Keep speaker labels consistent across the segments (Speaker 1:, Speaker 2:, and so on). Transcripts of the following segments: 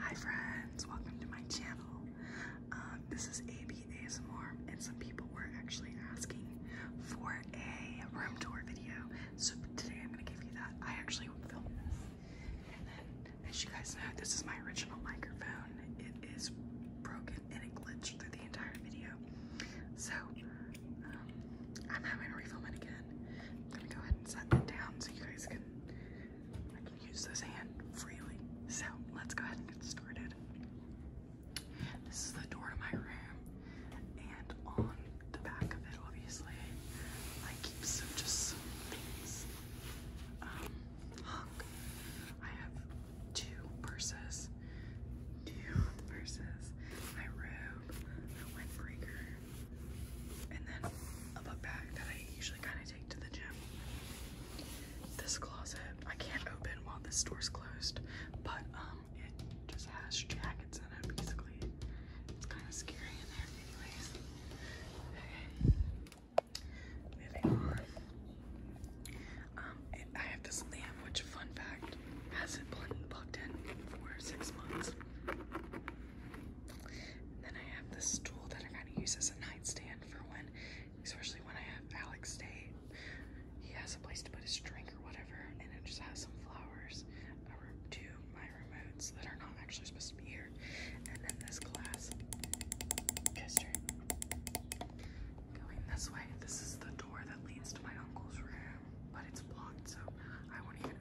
Speaker 1: Hi friends, welcome to my channel. Um, this is AB ASMR and some people were actually asking for a room tour video. So today I'm gonna give you that. I actually filmed this. And as you guys know, this is my original microphone. It is broken and it glitched through the entire video. So um, I'm having to refilm it again. I'm gonna go ahead and set it down so you guys can use this hand freely. So let's go ahead and get started. This is the door to my room, and on the back of it, obviously, I keep some just things. Um, I have two purses, two purses, my robe, my windbreaker, and then a book bag that I usually kind of take to the gym. This closet I can't open while the store's closed, but um, it just has jackets in it basically. It's kind of scary in there, anyways. moving on. Um, I have this lamp, which fun fact hasn't plugged in for six months. And then I have this stool that I kind of use as a nightstand for when, especially when I have Alex stay. He has a place to put his drink or whatever, and it just has some flowers. I two my remotes that are not actually supposed to be here, and then this glass Going this way, this is the door that leads to my uncle's room, but it's blocked, so I won't even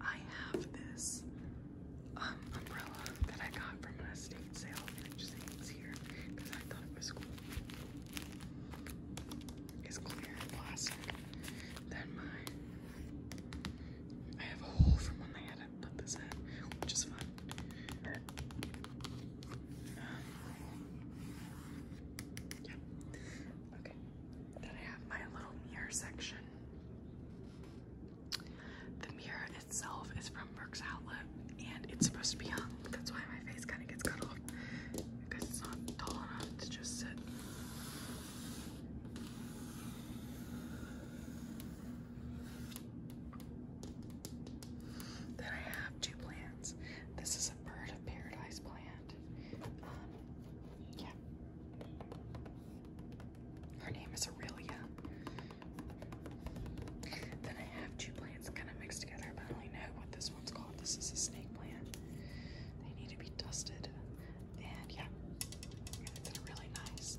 Speaker 1: I have this um, umbrella that I got from an estate sale and it just here because I thought it was cool. It's clear plastic. Then my I have a hole from when they had it put this in, which is fun. Um, then I have my little mirror section. The mirror itself is from Brooks Outlet and it's supposed to be hung. That's why my face kind of gets cut off because it's not tall enough to just sit. Then I have two plants. This is a bird of paradise plant. Um, yeah. Her name is Aurelia. Then I have two plants kind of mixed together, but I only know what this one's called. This is a snake plant. They need to be dusted. And yeah, it's a really nice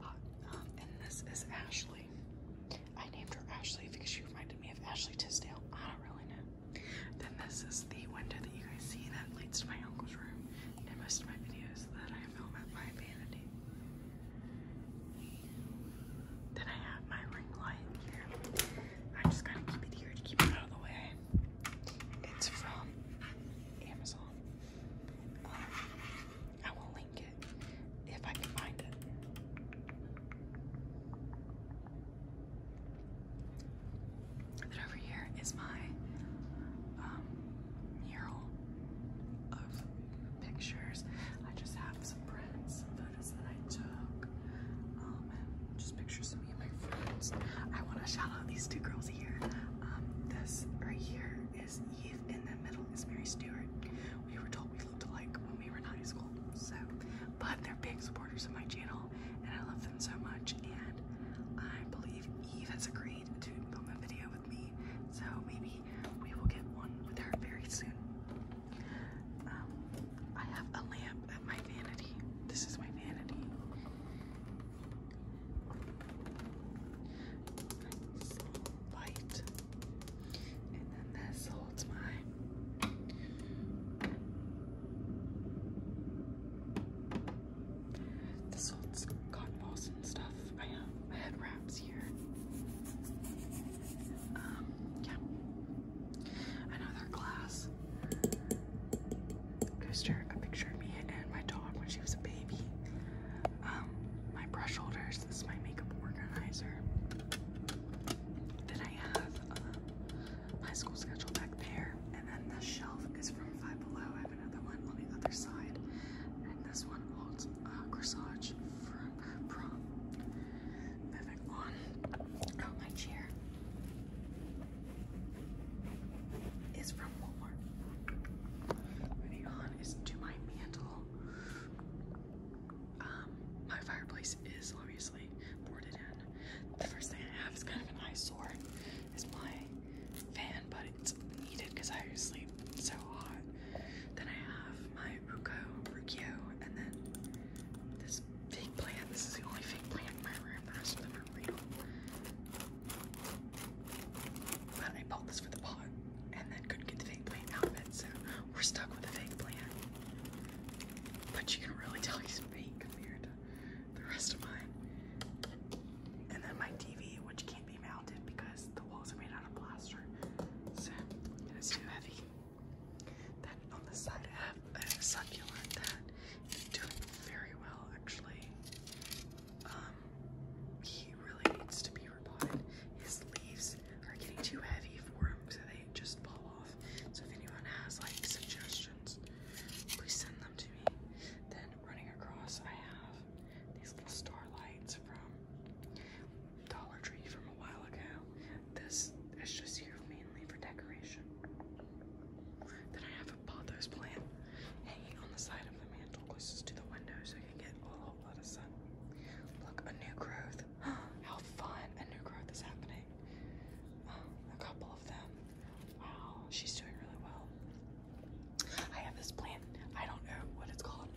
Speaker 1: pot. Um, and this is Ashley. I named her Ashley because she reminded me of Ashley Tisdale. I don't really know. Then this is the window that you guys see that leads to my uncle's room and most of my videos that I film at my vanity. Then I have my ring light here. I just gotta keep it here to keep it out of the way. It's from Amazon. I will link it if I can find it. And then over here is my um, mural of pictures. I just have some prints, some photos that I took, um, and just pictures of me and my friends. I want to shout out these two girls here. Um, this right here is Eve, in the middle is Mary Stewart. We were told we looked alike when we were in high school, so but their pics of my channel, and I love them so much. And I believe Eve has agreed to film a video with me, so maybe we will get one with her very soon. Um, I have a lamp at my vanity. This is my vanity. Nice light. And then this holds my this holds cotton balls and stuff. I have I had wraps here. Um, yeah. Another glass coaster, a picture of me and my dog when she was a baby. Um, my brush holders, this is my makeup organizer. Then I have uh, my school schedule back there. And then the shelf is from Five Below. I have another one on the other side. And this one holds a corsage from prom. Moving Oh, my chair is from Walmart. Moving is to my mantle. Um, my fireplace is, let obviously boarded The first thing I have is kind of an eyesore. It's my fan, but it's needed because I sleep so hot. Then I have my Ruko, Rukio, and then this fake plant. This is the only fake plant in my room. The rest of them are real. But I bought this for the pot and then couldn't get the fake plant out of it, so we're stuck with the fake plant. But you can really tell compared the rest of mine. And then my TV, which can't be mounted because the walls are made out of plaster, so it is too heavy. Then on the side I succulent that is doing very well actually. Um, he really needs to be repotted. His leaves are getting too heavy for him, so they just fall so if anyone has like suggestions, please send them to me. Then running across, I have these little star lights from Dollar Tree from a while ago. This is just here mainly for decoration. Then I have a pothos plant hanging on the side of the mantle closest to the window so you can get a whole lot of sun. Look, a new growth. How fun! new growth is happening. a couple of them. Wow, she's doing really well. I have this plant. I don't know what it's called,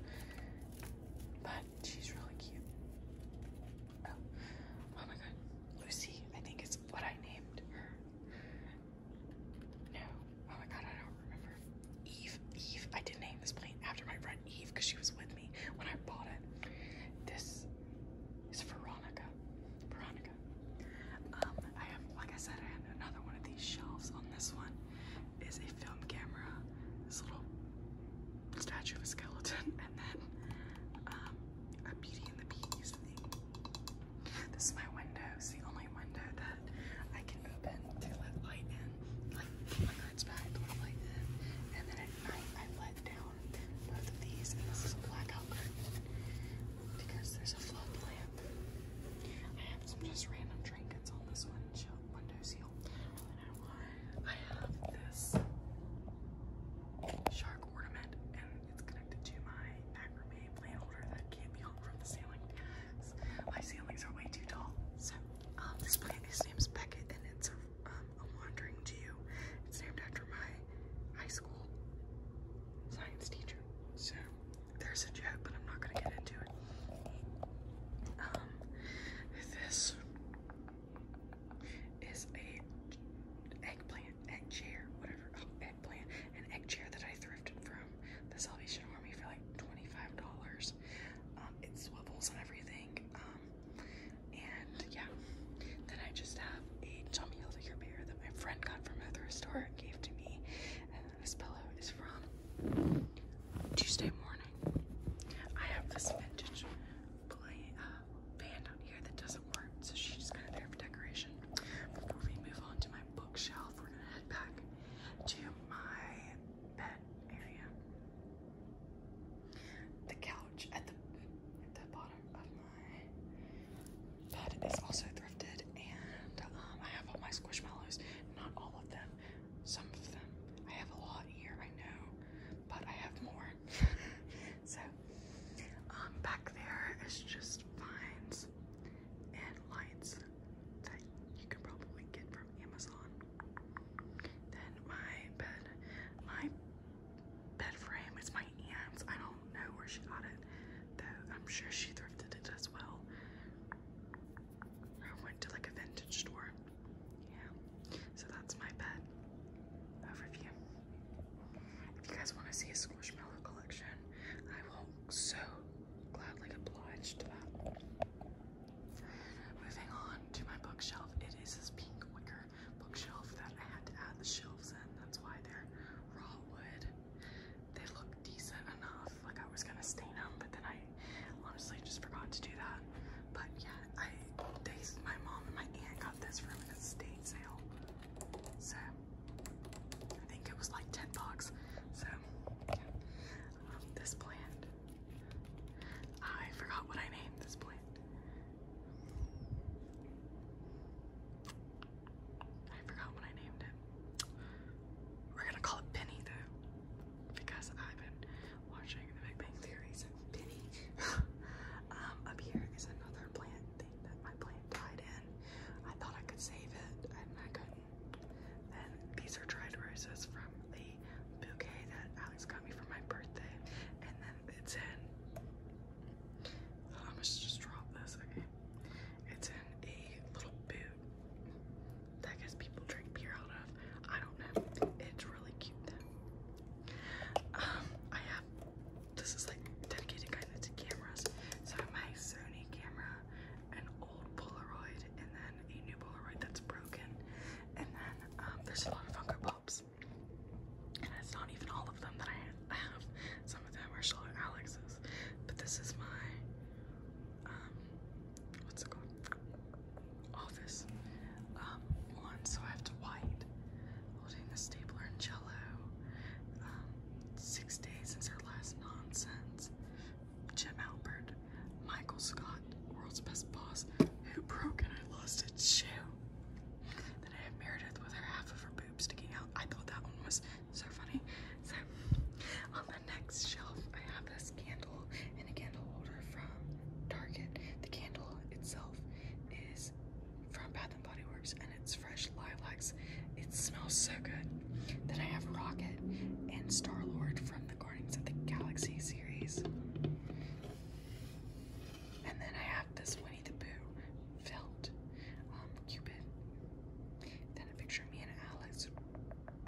Speaker 1: but she's really cute. Oh. oh, my god, Lucy! I think it's what I named her. No, oh my god, I don't remember. Eve, Eve. I did name this plant after my friend Eve because she was with me when I bought it. This it's Veronica. Veronica. Um, I have, like I said, I had another one of these shelves. On this one is a film camera, this little statue of a skeleton, and then um, a Beauty and the Bees thing. This is my window. It's the only window that I can open to let light in, like my lights back let light in, and then at night I let down both of these, and this is blackout because there's a flood lamp. I have some just random trinkets on this one window seal. I have this shark ornament, and it's connected to my macrame plant holder that can't be hung from the ceiling. My ceilings are way too tall. So, um, this plant, his name Beckett, and it's a um, um, A Wandering Jew. It's named after my high school science teacher. So there's a joke, but I'm not gonna get into it. Um, this is a eggplant, egg chair, whatever, oh, eggplant, an egg chair that I thrifted from the Salvation Army for like $25. Um, it swivels and everything. Um, and yeah, then I just have a Tommy Hilfiger beer that my friend got from a thrift store and gave to me. And this pillow is from Tuesday morning. I have this vintage play uh, band on here that doesn't work, so she's just kind of there for decoration. Before we move on to my bookshelf, we're gonna head back to my bed area. The couch at the bottom of my bed is also thrifted, and um, I have all my squishmallows. Not all of them, some of them. I have a lot here, I know, but I have more. so, um, back there is just vines and lights that you can probably get from Amazon. Then my bed, my bed frame. It's my aunt's. I don't know where she got it, though. I'm sure she thrifted it as well. I went to like a vintage store. Yeah. So that's my bed overview. If you guys want to see a Squishmallow collection, I will so gladly oblige to that. Moving on to my bookshelf, it is this pink wicker bookshelf that I had to add the shelves in. That's why they're raw wood. They look decent enough. Like I was gonna stain them, but then I honestly just forgot to do that. But yeah, I my mom and my aunt got this from an estate sale. So I think it was like 10 bucks. So yeah. Um, this plant. I forgot what I named this plant. I forgot what I named it. We're gonna call it Penny though, because I've been watching The Big Bang Theory, so Penny. Um, up here is another plant thing that my plant died in. I thought I could save it, and I couldn't. And these are dried roses from the bouquet that Alex got me for my birthday, and then it's in. Oh, I'm just gonna just drop this, okay? It's in a little boot that I people drink beer out of. I don't know. It's really cute though. Um, I have this is like dedicated kind of to cameras. So my Sony camera, an old Polaroid, and then a new Polaroid that's broken. And then um, there's a lot of Funko Pop and it's not even all of them that I have. Some of them are Charlotte Alex's. But this is my, um, what's it called? Office um, one. So I have to white, holding the stapler and jello. Um, six days since our last nonsense. Jim Albert, Michael Scott, world's best boss who broke and I lost its shoe. Then I have Meredith with her half of her boob sticking out. I thought that one was so funny. So on the next shelf I have this candle and a candle holder from Target. The candle itself is from Bath and Body Works and it's fresh lilacs. It smells so good. Then I have Rocket and Star Lord from the Guardians of the Galaxy series. And then I have this Winnie the Pooh felt um, Cupid. Then a picture of me and Alex.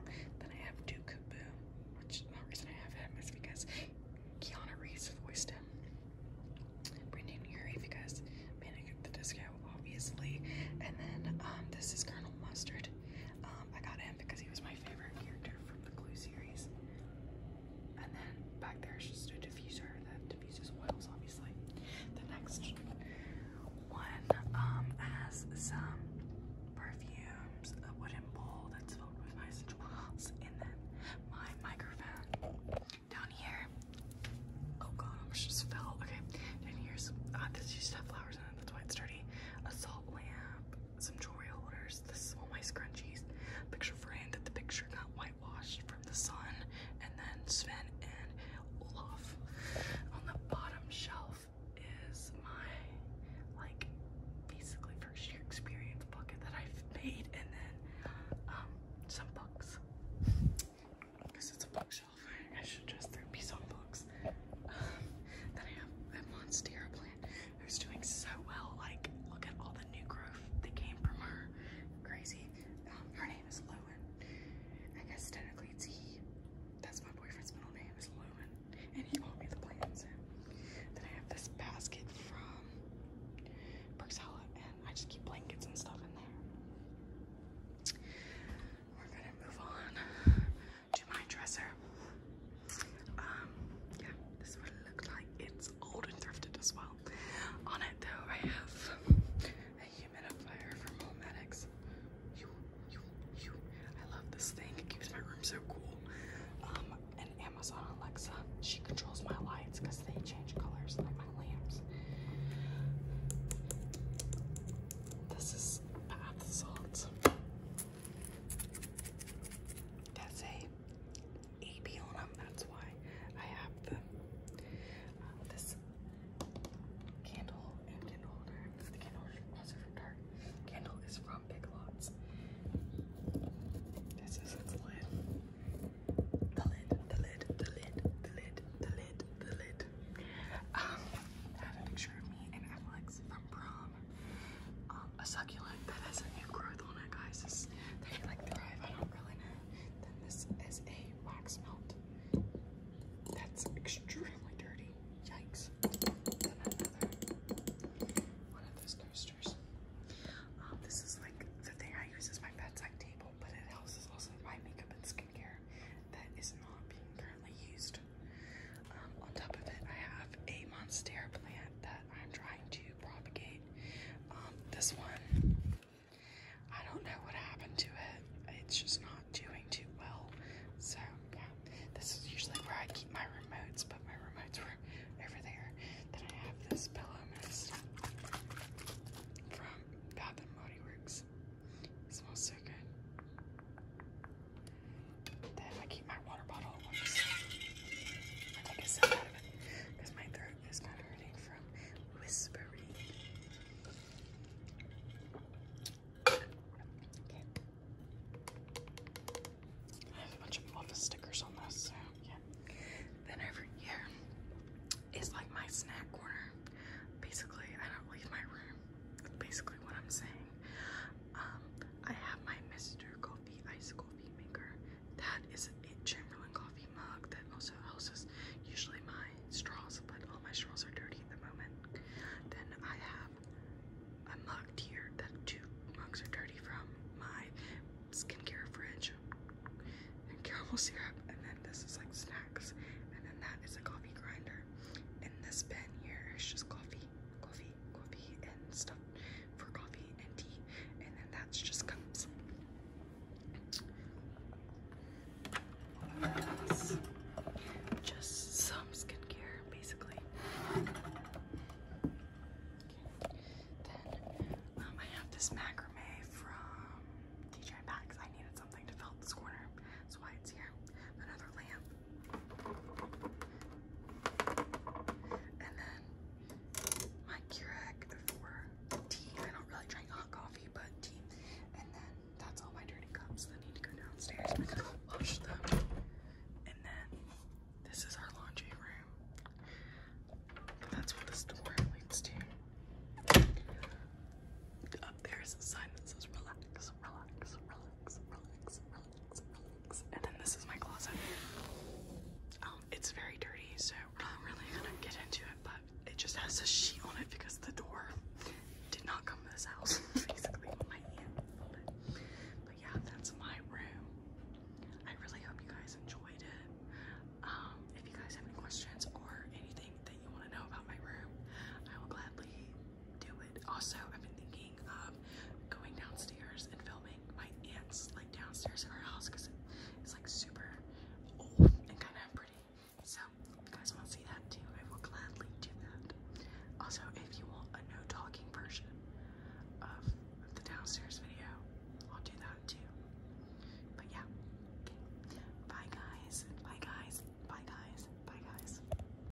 Speaker 1: Then I have Duke Boom, which the reason I have him is because Keanu Reeves voiced him. Brendan Urie because Manic at the Disco, obviously. And then um, this is Colonel Mustard. Um, I got him because he was my favorite character from the Clue series. And then back there is just a diffuser that diffuses oils, obviously. The next one um, has some perfumes, a wooden bowl that's filled with my oils, and then my microphone. Down here, oh god, I almost just fell. Okay, And here's, uh, this used to have flowers in it, that's why it's dirty. A salt lamp, some jewelry holders. This is all my scrunchies. Picture frame that the picture got whitewashed from the sun, and then Sven and Olaf. On the bottom shelf is my like basically first year experience bucket that I've made, and then um, some books. Because it's a bookshelf, I should just throw be some books. Um, then I have I'm on stair who's doing so well. Like, look at all the new growth that came from her. Crazy. Um, her name is Lowen. I guess technically it's he. That's my boyfriend's middle name is Lowen. And he bought me the plants. Then I have this basket from Brixella, and I just keep blankets and stuff in there. We're gonna move on to my dresser. Um, yeah, this is what like. It's old and thrifted as well. On it though, I have a humidifier from Homedics. You, I love this thing. It keeps my room so cool. Um, and Amazon Alexa, she controls my lights because they change colors like my lamps. This is bath salts that say AB on them. That's why I have them. Uh, this candle and candle holder. The candle also from Tarte. Candle is from Big Lots. This is its lid. The lid, the lid, the lid, the lid, the lid, the lid. Um, have a picture of me and Alex from prom. Um, a succulent that has a new growth on it, guys. It's, they like thrive. I don't really know. Then this is a wax melt. That's extremely dirty. Yikes. Then another one of those coasters. Um, this is like the thing I use as my bedside table, but it houses also my makeup and skincare that is not being currently used. Um, on top of it, I have a monstera plant that I'm trying to propagate. Um, this one, I don't know what happened to it. It's just not doing too well. So, yeah, this is usually where I keep my remotes, but my remotes were over there. Then I have this pillow mist from Bath and Body Works. It smells so good. Then I keep my water bottle. I take a sip out of it because my throat is kind of hurting from whispering. I have a bunch stickers on this, so yeah. Then over like my snack corner. Basically, I don't leave my room. That's basically what I'm saying. Um, I have my Mr. Coffee Ice Coffee Maker. That is a Chamberlain coffee mug that also houses usually my straws, but all my straws are dirty at the moment. Then I have a mug here that two mugs are dirty from my skincare fridge and caramel syrup. And then this is like snacks. And then that is a coffee grinder. In this bin here is just coffee coffee, coffee, and stuff for coffee and tea, and then that's just cups. just some skincare, basically. Then um, I have this macrame from DJ Maxx. I needed something to fill this corner, that's why it's here. Another lamp. And then my Keurig for tea. I don't really drink hot coffee, but tea. And then that's all my dirty cups that need to go downstairs. I'm going wash them. And then this is our laundry room. That's what the door leads to. Up there is a sign that says relax, relax, relax, relax. And then this is my closet. Um, it's very dirty, so we're not really gonna get into it, but it just has a sheet on it because the door did not come to this house. Basically, But yeah, that's my room. I really hope you guys enjoyed it. Um, if you guys have any questions or anything that you want to know about my room, I will gladly do it. Also, I've been thinking of going downstairs and filming my aunt's like downstairs in her house because it's like super old and kind of pretty. So if you guys want to see that too, I will gladly do that. Also, if you want a no talking version of the downstairs video, I'll do that too. But yeah, okay. Bye guys. Bye guys. Bye guys. Bye guys.